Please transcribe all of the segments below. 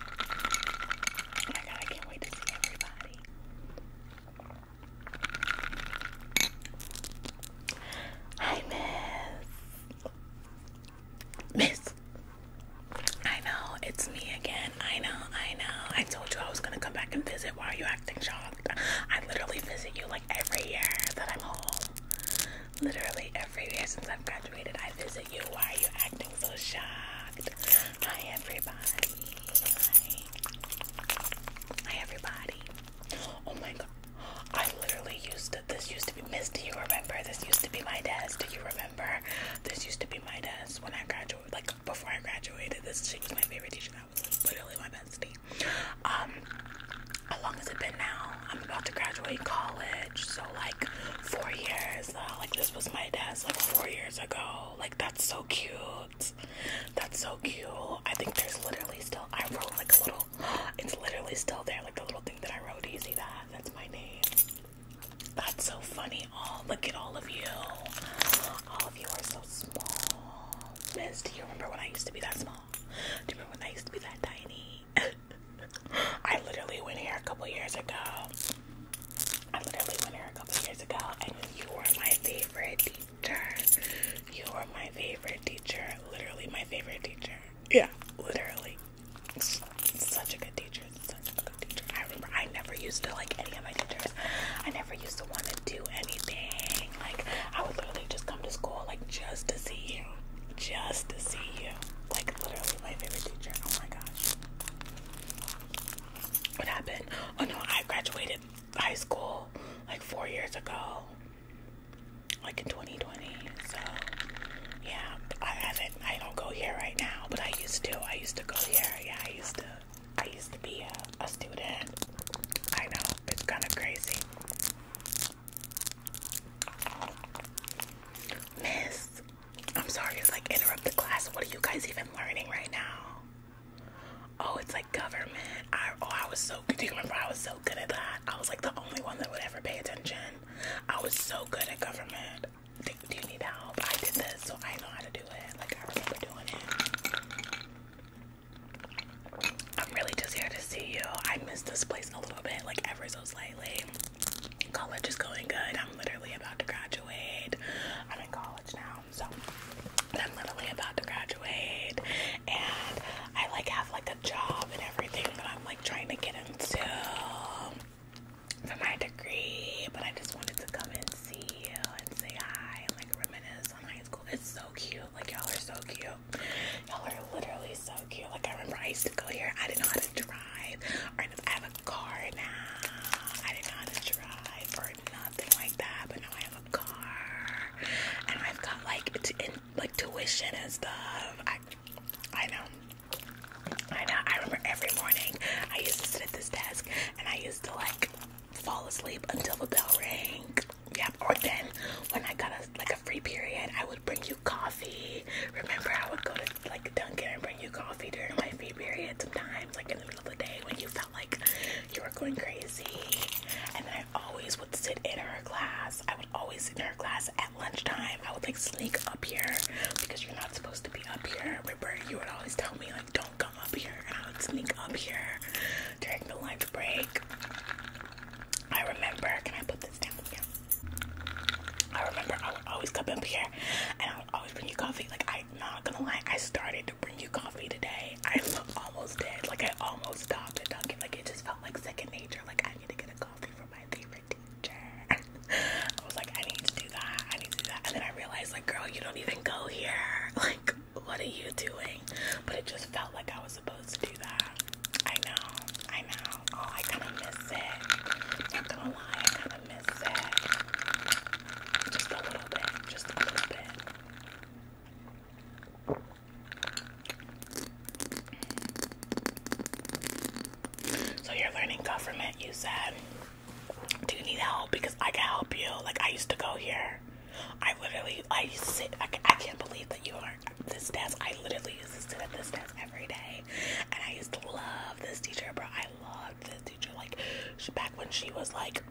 Oh I Miss. Miss. I know, it's me again. I know, I know. I told you I was gonna come back and visit. Why are you acting shocked? I literally visit you like every year that I'm home. Literally every year since I've graduated, I visit. Why are you acting so shocked? Hi, everybody. Hi. everybody. Oh my god. I literally used to, this used to be, Miss, you remember? This used to be my desk. Do you remember? This used to be my desk when I graduated, like before I graduated. This, was my favorite teacher. That was like, literally my bestie. Um, how long has it been now? I'm about to graduate college, so like, four years Like this was my desk like four years ago. Like that's so cute. That's so cute. I think there's literally still I wrote like a little it's literally still there, like the little thing that I wrote, easy that that's my name. That's so funny. All, oh, look at all of you. All of you are so small. Miss, do you remember when I used to be that small? Do you remember when I used to be that tiny? I literally went here a couple years ago. I literally went here a couple years ago, and you were my favorite teacher. You were my favorite teacher. Literally my favorite teacher. Yeah, literally. Such a good teacher. Such a good teacher. I remember I never used to like any of my teachers. I never used to want to do anything. Like, I would literally just come to school, like, just to see you. Just to see you. Like, literally my favorite teacher. Oh my gosh. What happened? Oh no, I graduated high school like four years ago. Like in 2020. So yeah, I haven't I don't go here right now, but I used to. I used to go here. Yeah, I used to I used to be a, a student. I know, it's kinda crazy. Miss, I'm sorry it's like interrupt the class. What are you guys even learning right now? Oh, it's like government. I oh I was so good. Do you remember I was so good at that? I was like the only one that would ever pay attention. I was so good at government. Do, you need help? I did this, so I know how to do it. Like I remember doing it. I'm really just here to see you. I miss this place a little bit, like ever so slightly college is going good. I'm literally about to graduate. I'm in college now, so I'm literally about to graduate, and I like have like a job and everything But I'm like trying to get into for my degree. But I just wanted to come and see you and say hi and like reminisce on high school. It's so cute. Like y'all are so cute. Y'all are literally so cute. Like I remember I used to go here. I didn't know how to drive, or I have a car now. I didn't know how to drive or nothing like that, but now I have a car, and I've got like like tuition and stuff. I I know. I know. I remember every morning I used to sit at this desk and I used to like fall asleep until the bell rang. Yep. Or then when I got a like a free period, I would bring you coffee. Remember, I would go to like Dunkin' and bring you coffee during my free period sometimes, like in the middle of the day when you felt like you were going crazy. And then I always would sit in her class. I would always sit in her class at lunchtime. I would like sneak up here because you're not supposed to be up here. Remember, you would always tell me like, don't come up here, and I would sneak up here during the lunch break. I remember. Can I put this down? I remember I would always come up here and I would always bring you coffee. Like, I'm not gonna lie, I started to bring you coffee today. I almost dead, Like, I almost stopped at Dunkin'. Like, it just felt like second nature. Like, I need to get a coffee for my favorite teacher. I was like, I need to do that. I need to do that. And then I realized, like, girl, you don't even go here. Like, what are you doing? But it just felt like I was supposed to do that. I know, I know. Oh, I kind of miss it. Not gonna lie, I kind of miss it. Just a little bit, just a little bit. So you're learning government, you said. Do you need help? Because I can help you. Like I used to go here. I literally, I used to say, I can't believe that you are this desk. I literally used to sit at this desk every day, and I used to love this teacher, bro. I loved this teacher. Like back when she was like,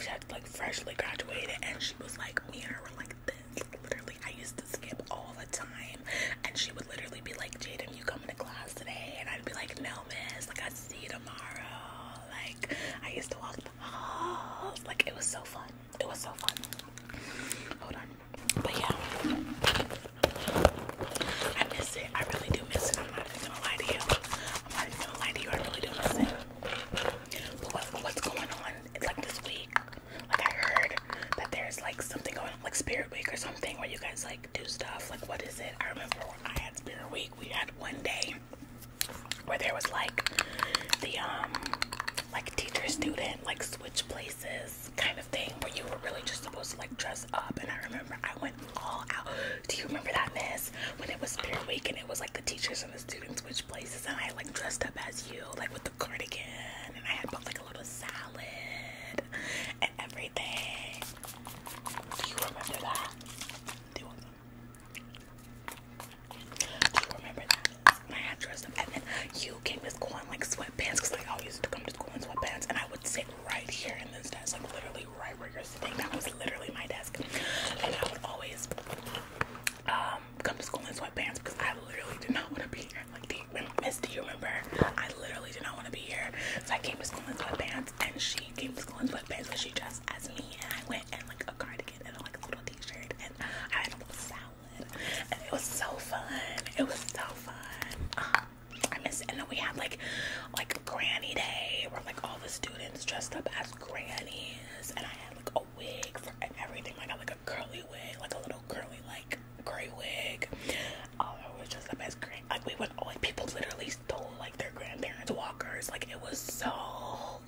she had like freshly graduated, and she was like, me and her were like this. Literally, I used to skip all the time, and she would literally be like, Jaden, you coming to class today? And I'd be like, No, miss. Like I see you tomorrow. Like I used to walk the halls. Like it was so fun. It was so fun. Hold on. But yeah. I miss it. I really do miss it. I'm not even gonna lie to you. I'm not even gonna lie to you. I really do miss it. what's going on like this week? Like I heard that there's like something going like Spirit Week or something where you guys like do stuff. Like what is it? I remember I had Spirit Week, we had one day where there was like the um like teacher student, like switch places kind of thing where you were really just supposed to like dress up. And I remember I went all out. Do you remember that mess when it was spirit week and it was like the teachers and the students switch places and I like dressed up as you, like with the cardigan and I had like a little salad and everything. Do you remember that? Do you remember that? My address. And then you came to school in like sweatpants because like I used to come to school in sweatpants and I would sit right here in this desk, like literally right where you're sitting. That was literally my desk. And I would always um, come to school in sweatpants because I literally did not want to be here. Like do you remember, Miss, do you remember? I literally did not want to be here. So I came to school in sweatpants and she came to school in sweatpants and she dressed as me and I went in like a cardigan and like a little t-shirt I had a little salad, it was so fun. It was so fun. I miss. It. And then we had like, like Granny Day, where like all the students dressed up as grannies, and I had like a wig for everything. Like I got like a curly wig, like a little curly like gray wig. Oh, it was just the best. Like we would, like people literally stole like their grandparents' walkers. Like it was so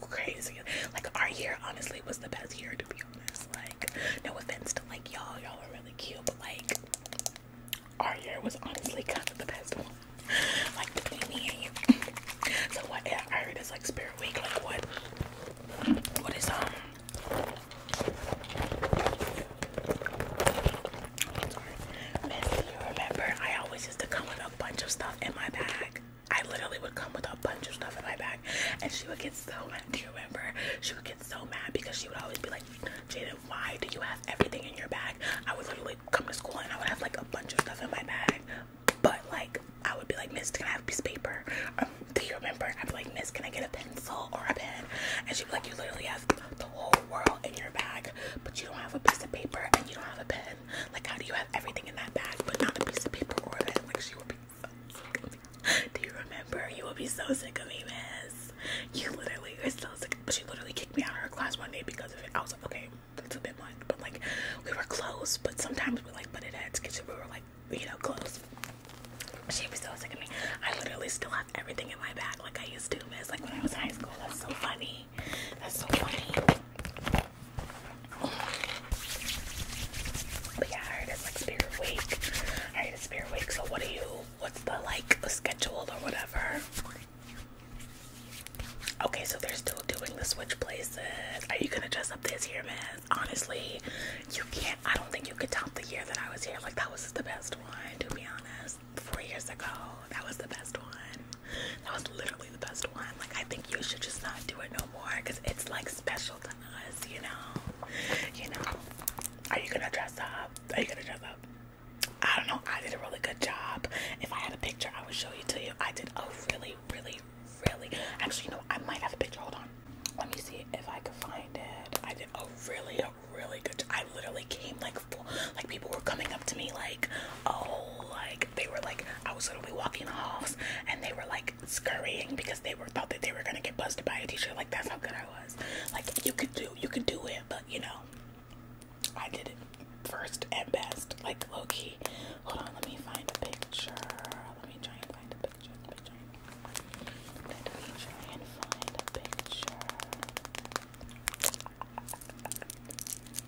crazy. Like our year honestly was the best year to be honest. Like no offense to like y'all, y'all were really cute, but like our year was honestly kind of the best one. Like between me and you. So what yeah, I heard it's like spirit week, like what what is um you remember I always used to come with a bunch of stuff in my bag. I literally would come with a bunch of stuff in my bag, and she would get so mad. Do you remember? She would get so mad because she would always be like, "Jaden, why do you have everything in your bag?" I would literally come to school and I would have like a bunch of stuff in my bag, but like I would be like, "Miss, can I have a piece of paper?" Um, do you remember? I'd be like, "Miss, can I get a pencil or a pen?" And she'd be like, "You literally have the whole world in your bag, but you don't have a piece of paper and you don't have a pen. Like, how do you everything in that bag, but not a piece of paper or a Like she would be so sick of me. Do you remember? You would be so sick of me, miss. You literally are still sick. But she literally kicked me out of her class one day because of it. I was like, okay, that's a bit much. But like, we were close. But sometimes we like put it at kitchen. We were like, you know, close. She was so sick of me. I literally still have everything in my bag like I used to, miss. Like when I was in high school. That's so funny. That's so funny yeah, I heard it's like Spirit Week. I it's Spirit Week. So what are you? What's the like schedule or whatever? Okay, so they're still doing the switch places. Are you gonna dress up this year, man? Honestly, you can't. I don't think you could top the year that I was here. Like that was the best one, to be honest. Four years ago, that was the best one. That was literally the best one. Like, I think you should just not do it no more because it's like special to us, you know? You know? Are you gonna dress up? Are you gonna dress up? I don't know. I did a really good job. If I had a picture, I would show you to you. I did a really, really, really. Actually, you know, I might have a picture. Hold on. Let me see if I could find it. I did a really, a really good. I literally came like full. Like people were coming up to me like, oh, like like they were like I was literally walking the halls and they were like scurrying because they were thought that they were gonna get busted by a teacher. Like that's how good I was. Like you could do you could do it, but you know I did it first and best. Like low key. Hold on, let me find a picture. Let me try and find a picture. Let me try and, let me try and find a picture.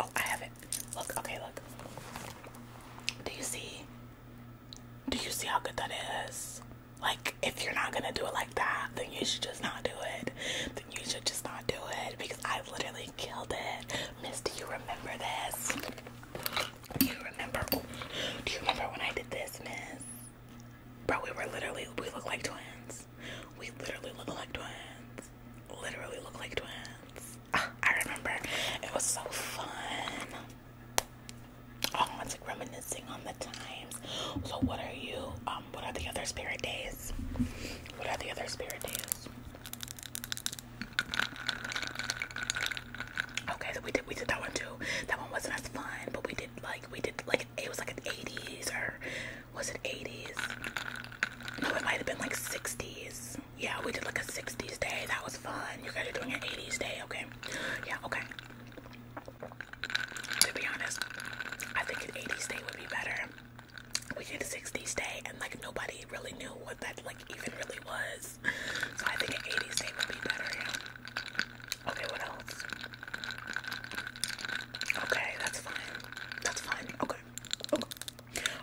Oh, I have it. Look, okay, look. Do you see? Do you see how good that is? Like, if you're not gonna do it like that, then you should just not do it. Then you should just not do it because I literally killed it. Miss, do you remember this? Do you remember? do you remember when I did this, Miss? Bro, we were literally, we look like twins. We literally look like twins. Literally look like twins. I remember it was so fun. Oh, it's like reminiscing on the times. So, what are you? Um, what are the other spirit days? What are the other spirit days? Okay, so we did we did that one too. That one wasn't as fun, but we did like we did like it was like an 80s or was it 80s? No, it might have been like 60s. Yeah, we did like a 60s day. That was fun. You guys are doing an 80s day, okay? Yeah, okay. To be honest, I think an 80s day would be better. We did a 60s day and like nobody really knew what that like even really was. So I think an 80s day would be better, yeah. Okay, what else? Okay, that's fine. That's fine. Okay. Okay.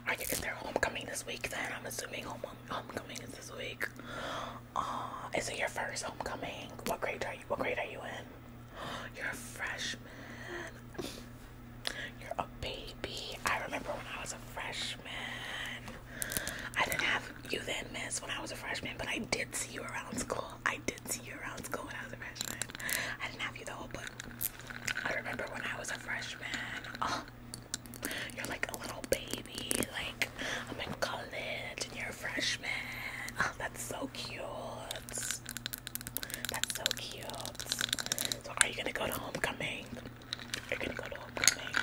I guess their homecoming this week then. I'm assuming home homecoming is this week. Uh, is it your first homecoming? What grade are you what grade are you in? You're a freshman. You're a baby. I remember when I was a freshman. I didn't have you then, miss, when I was a freshman, but I did see you around school. I did see you around school when I was a freshman. I didn't have you though, but I remember when I was a freshman. Oh, you're like a little baby. Like I'm in college and you're a freshman. Oh, that's so cute. That's so cute. So are you gonna go to homecoming? you Are gonna go to homecoming?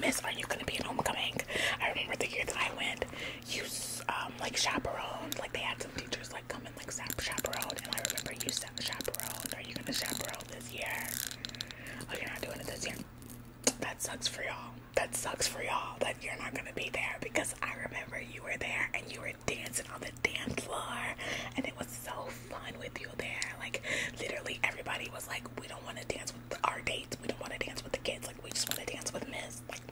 Miss, are you gonna be at homecoming? I remember the year that I went. You um like chaperones. Like they had some teachers was like like chaperone and I remember you sap chaperone. Are you gonna chaperone this year? Oh you're not doing it this year. That sucks for y'all. That sucks for y'all that you're not gonna be there because I remember you were there and you were dancing on the damn floor and it was so fun with you there. Like literally everybody was like, We don't wanna dance with our dates, we don't wanna dance with the kids, like we just wanna dance with Miss. Like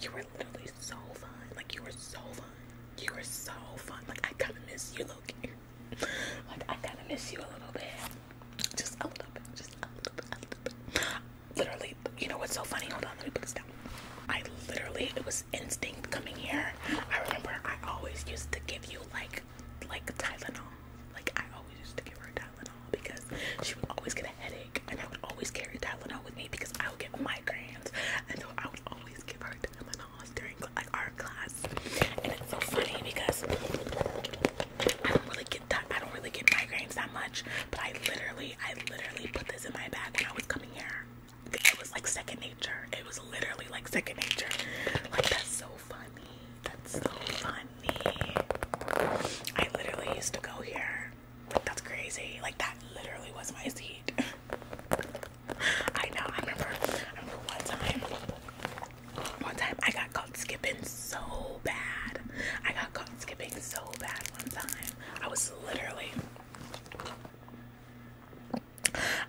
you were literally so fun. Like you were so fun. You were so fun. Like I kind of miss you, Loki. Like I kind of miss you a little bit. Just a little bit. Just a little bit. A little bit. Literally, you know what's so funny? Hold on, let me put this down. I literally, it was instinct coming here. I remember I always used to give you like, like Tylenol. Like I always used to give her Tylenol because she would always get a headache, and I would always carry Tylenol with me because I would get migraines, and so I always give her time and during like our class, and it's so funny because I don't really get that. I don't really get migraines that much, but I literally, I literally put this in my bag when I was coming here. It was like second nature. It was literally like second nature. Like that's so funny. That's so funny. I literally used to go here like that's crazy. Like that literally was my seat. I know. I remember. I remember one time. One time I got caught skipping so bad. I got caught skipping so bad one time. I was literally.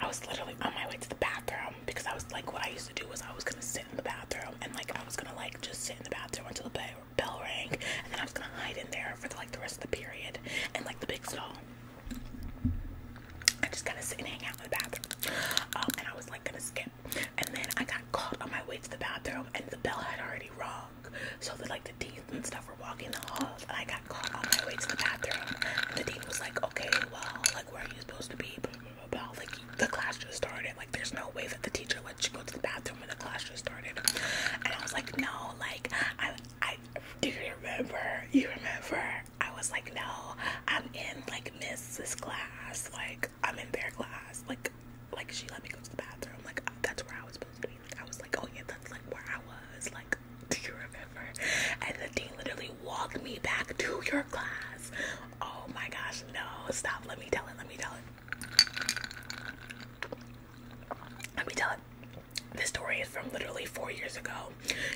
I was literally on my way to the bathroom because I was like, what I used to do was I was gonna sit in the bathroom and like I was gonna like just sit in the bathroom until the play bell rang, and then I was gonna hide in there for like the rest of the period and like the big stall. I just gotta sit and hang out in the bathroom, um, and I was like gonna skip, and then I got caught on my way to the bathroom, and the bell had already rung, so like the deans and stuff were walking the halls, and I got caught on my way to the bathroom. And the dean was like, "Okay, well, like where are you supposed to be?" But Like the class just started, like there's no way that the teacher she you go to the bathroom when the classroom started and I was like no like I I do you remember you remember I was like no I'm in like Mrs. class like I'm in their class like like she let me go to the bathroom like that's where I was supposed to be like, I was like oh yeah that's like where I was like do you remember and the dean literally walked me back to your class oh my gosh no stop let me tell it let me tell it let me tell it. This story is from literally four years ago.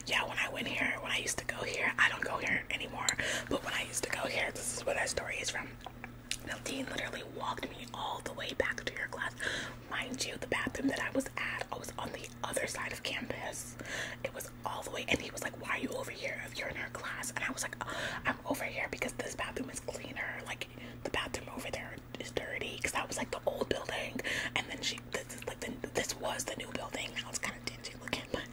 Yeah, when I went here, when I used to go here, I don't go here anymore. But when I used to go here, this is where that story is from. The literally walked me all the way back to your class. Mind you, the bathroom that I was at, I was on the other side of campus. It was all the way, and he was like, "Why are you over here? If you're in her class?" And I was like, uh, "I'm over here because this bathroom is cleaner. Like the bathroom over there is dirty because that was like the old building, and then she this is like the, this was the new building. Now it's kind of dingy looking, but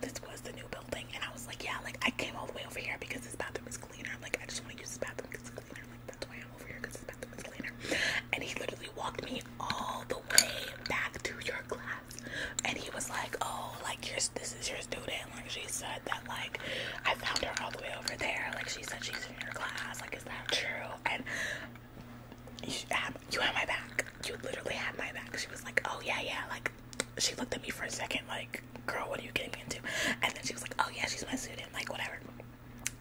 this was the new building, and I was like, yeah, like I came all the way over here because this bathroom is cleaner. Like I just want to use this bathroom because it's cleaner. Like that's why I'm over here because this bathroom is cleaner. And he literally walked me all the way back to your class, and he was like, oh, like this is your student like she said that like I found her all the way over there. Like she said she's in your class. Like is that true? And you have, you had my back. You literally had my back. She was like, oh yeah, yeah. Like she looked at me for a second, like girl, what are you getting me into? And then she was like, oh yeah, she's my student. Like whatever.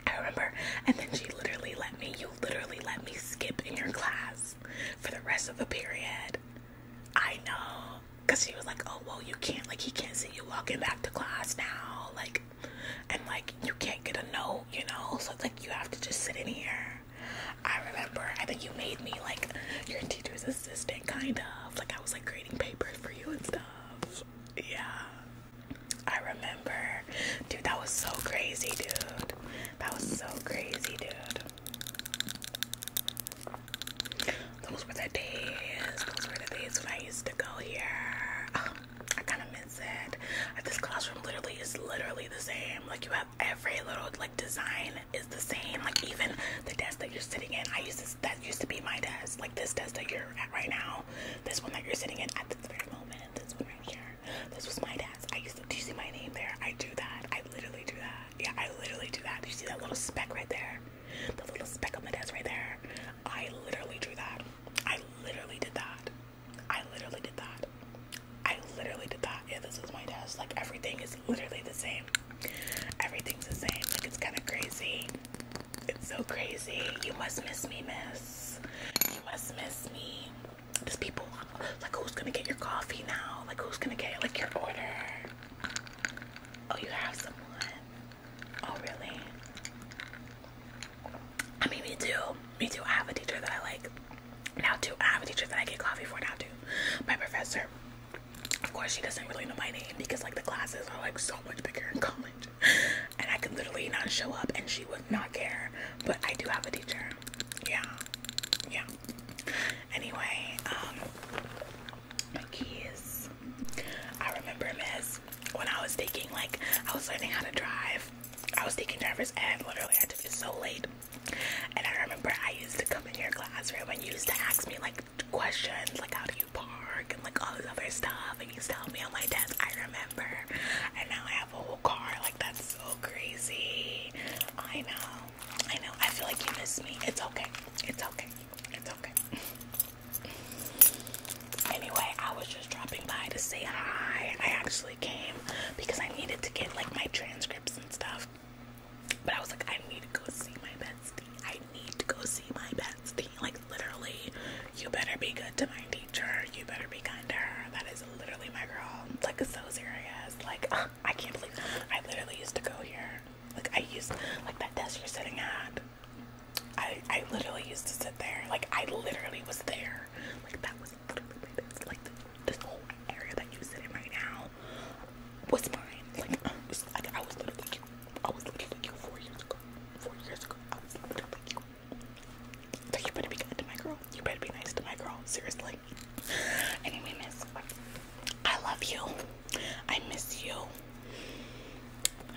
I remember. And then she literally let me. You literally let me skip in your class for the rest of the period. I know because he was like oh well you can't like he can't see you walking back to class now like and like you can't get a note you know so it's like you have to just sit in here i remember i think you made me like your teacher's assistant kind of like i was like grading papers for you and stuff yeah i remember dude that was so crazy dude that was so crazy dude those were the days. Those were the days when I used to go here. Um, I kind of miss it. Uh, this classroom literally is literally the same. Like you have every little like design is the same. Like even the desk that you're sitting in. I used to, that used to be my desk. Like this desk that you're at right now. This one that you're sitting in at this very moment. This one right here. This was my desk. I used to. Do you see my name there? I do that. I literally do that. Yeah, I literally do that. Do you see that little speck right there? The little speck on my desk right there. I literally drew that. I literally did that. I literally did that. I literally did that. Yeah, this is my desk. Like everything is literally the same. Everything's the same. Like it's kind of crazy. It's so crazy. You must miss me, miss. You must miss me. There's people like who's gonna get your coffee now? Like who's gonna get like your order? Oh, you have someone? Oh, really? I mean, me too. Me too. I have a teacher that I like now too. I have a teacher that I get coffee for now too. My professor. Of course, she doesn't really know my name because like the classes are like so much bigger in college, and I could literally not show up and she would not care. But I do have a teacher. Yeah, yeah. Anyway, um, my keys. I remember him when I was taking, like, I was learning how to drive. I was taking driver's and literally, I took it so late. And I remember I used to come in your classroom and you used to ask me, like, questions, like, how do you park, and, like, all this other stuff. And you used to help me on my desk, I remember. And now I have a whole car, like, that's so crazy. I know. I know. I feel like you missed me. It's okay. It's okay. It's okay. anyway, I was just dropping by to say hi. I actually came because I needed to get like my transcripts and stuff. But I was like, I need to go see my bestie. I need to go see my bestie. Like literally, you better be good to my teacher. You better be kind to her. That is literally my girl. It's like so serious. Like I can't believe I literally used to go here like I used like that desk you're sitting at. I I literally used to sit there. Like I literally was there. Like that was like this whole area that you are sitting right now was mine. Like, was, like I was literally you. I was literally you four years ago. Four years ago. I was literally you. So you better be good to my girl. You better be nice to my girl. Seriously. Anyway, miss, I love you. I miss you.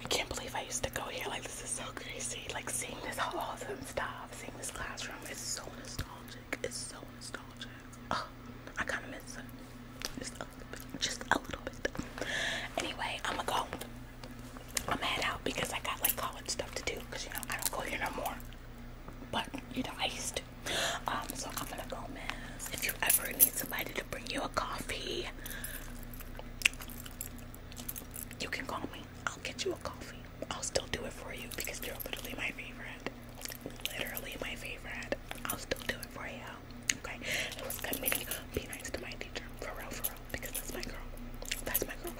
I can't believe I used to go here. Like, this is so crazy. Like, seeing this awesome stuff, seeing this classroom It's so nostalgic. It's so nostalgic. I kind of miss it. Just a little bit. Just a little bit. Anyway, I'm gonna go. I'm gonna head out because I got like college stuff to do because you know I don't go here no more. But you know, I used to. Um, so I'm gonna go, Miss. If you ever need somebody to bring you a coffee, you can call me. I'll get you a coffee. I'll still do it for you because you're literally my favorite. Literally my favorite. I'll still do it for you. Okay. It was good meeting. Be nice to my teacher. For real, for real. Because that's my girl. That's my girl.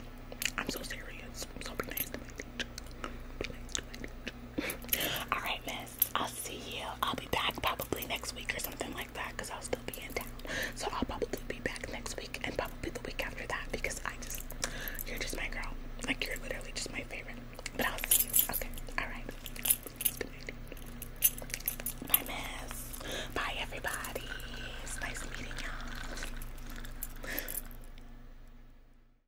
I'm so serious. So Be nice to my teacher. All right, miss. I'll see you. I'll be back probably next week or something like that because I'll still be in town. So I'll probably be back next week and probably the week after that because I just, you're just my girl. Like, you're literally just my favorite. But I'll see you. Okay. All right. Bye, miss. Bye, everybody. nice meeting y'all.